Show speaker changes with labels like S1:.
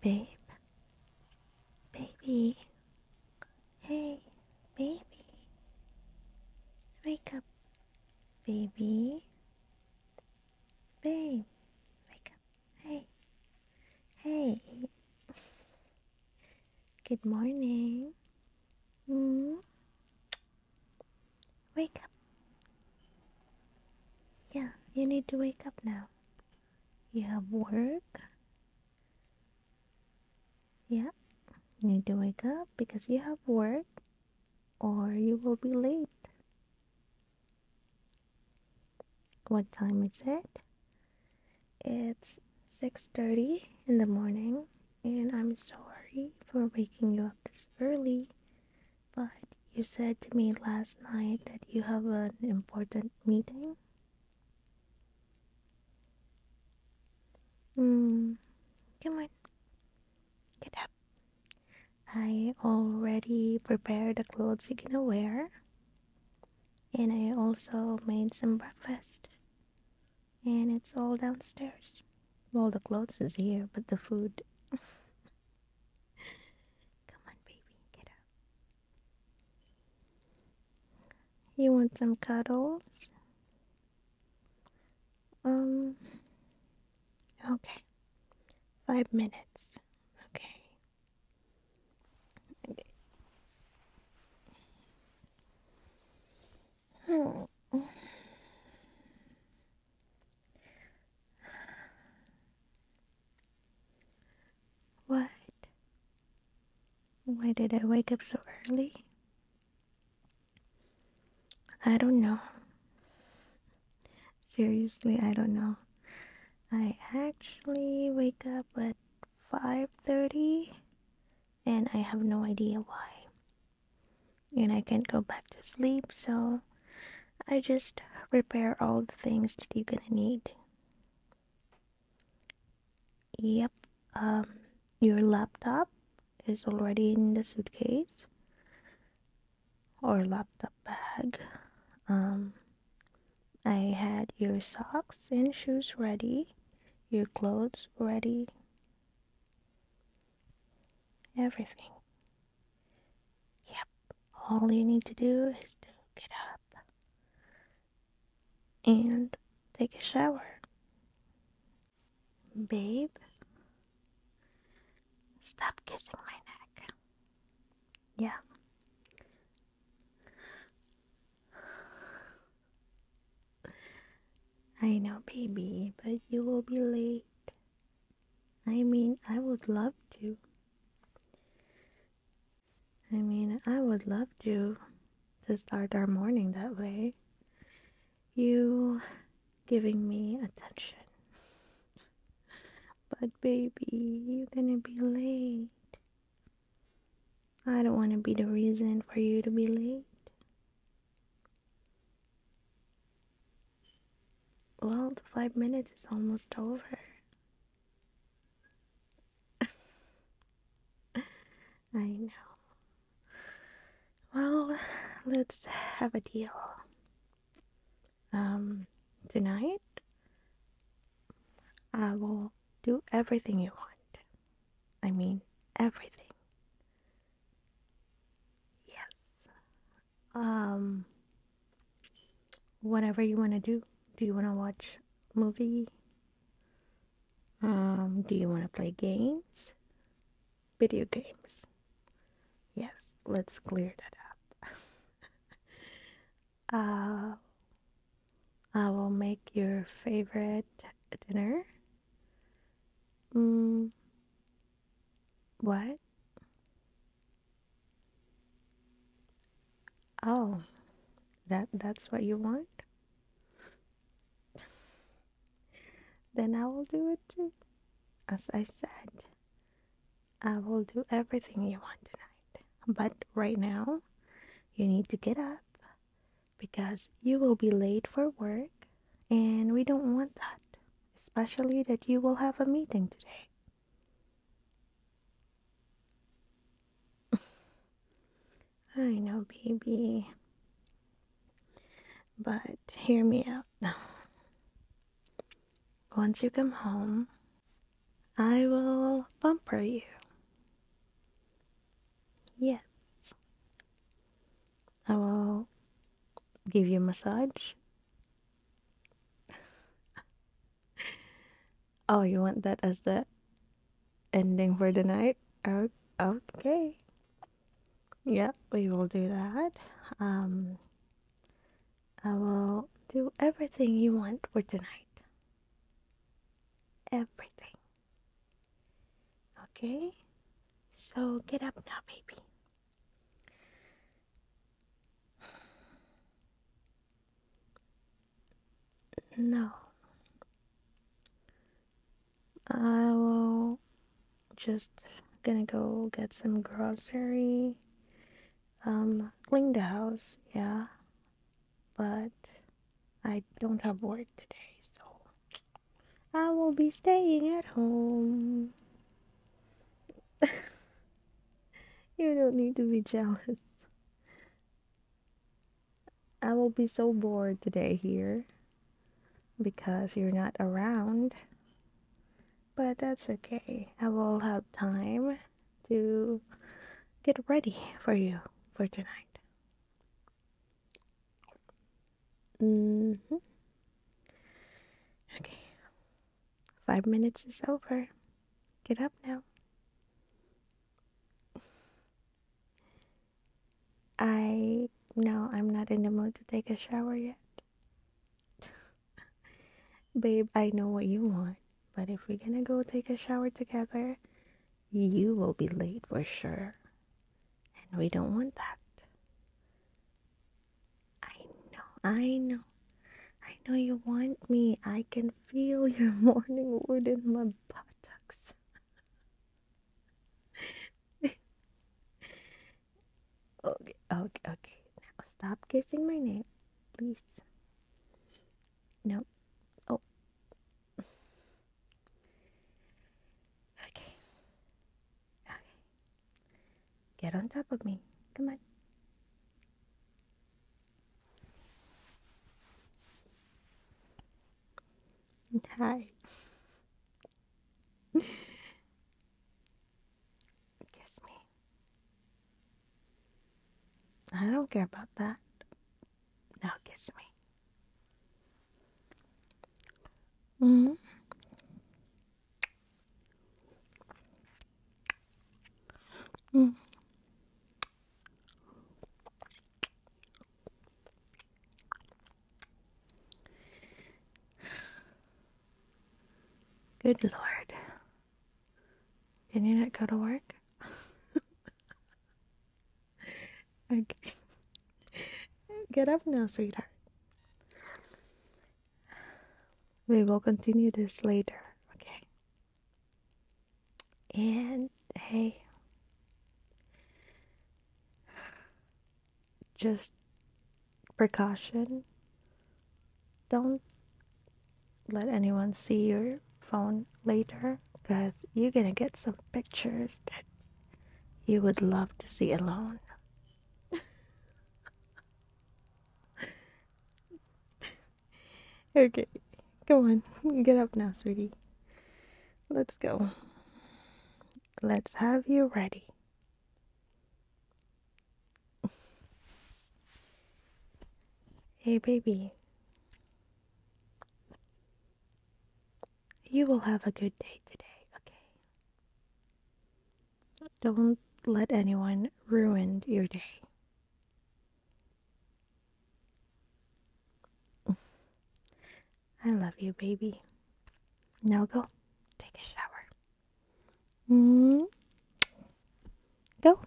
S1: Babe, baby, hey, baby, wake up, baby, babe, wake up, hey, hey, good morning, mm. wake up, yeah, you need to wake up now you have work. Yeah, you need to wake up because you have work or you will be late. What time is it? It's 6:30 in the morning and I'm sorry for waking you up this early. But you said to me last night that you have an important meeting? Hmm, come on. Get up. I already prepared the clothes you're gonna wear. And I also made some breakfast. And it's all downstairs. Well, the clothes is here, but the food. Come on, baby, get up. You want some cuddles? Um, okay. Five minutes. Okay. okay. Hmm. What? Why did I wake up so early? I don't know. Seriously, I don't know. I actually wake up at 5:30 and I have no idea why and I can't go back to sleep, so I just prepare all the things that you're gonna need. Yep, um, your laptop is already in the suitcase or laptop bag. Um, I had your socks and shoes ready, your clothes ready. Everything. Yep, all you need to do is to get up and take a shower. Babe, stop kissing my neck. Yeah. I know, baby, but you will be late. I mean, I would love to. I mean, I would love to start our morning that way. You giving me attention. But baby, you're gonna be late. I don't want to be the reason for you to be late. Well, the five minutes is almost over. I know. Well, let's have a deal. Um, tonight, I will do everything you want. I mean, everything. Yes. Um, whatever you want to do. Do you want to watch movie? Um, do you want to play games? Video games. Yes, let's clear that up. uh, I will make your favorite dinner Mm, what? Oh, that that's what you want? then I will do it too. As I said, I will do everything you want tonight. But right now, you need to get up because you will be late for work and we don't want that, especially that you will have a meeting today. I know, baby. But hear me out. Once you come home, I will bumper you. Yes. I will give you a massage. oh, you want that as the ending for the night? Okay. Yeah, we will do that. Um, I will do everything you want for tonight. Everything. Okay? So get up now, baby. No. I will just gonna go get some grocery. Um, clean the house, yeah. But I don't have work today, so I will be staying at home. you don't need to be jealous. I will be so bored today here because you're not around. But that's okay. I will have time to get ready for you for tonight. -hmm. Okay. Five minutes is over. Get up now. I. No, I'm not in the mood to take a shower yet. Babe, I know what you want, but if we're gonna go take a shower together, you will be late for sure. And we don't want that. I know, I know. I know you want me. I can feel your morning wood in my buttocks. okay, okay, okay. Now stop kissing my neck, please. No. Oh, Okay. Okay. Get on top of me. Come on. Hi. Kiss me. I don't care about that. Now kiss me. Mm -hmm. Good Lord. Can you not go to work? okay. Get up now, sweetheart. We will continue this later, okay? And hey, just precaution. Don't let anyone see your phone later because you're gonna get some pictures that you would love to see alone. okay, come on, get up now, sweetie. Let's go. Let's have you ready. Hey, baby. You will have a good day today, okay? Don't let anyone ruin your day. I love you, baby. Now go take a shower. -hmm. Go.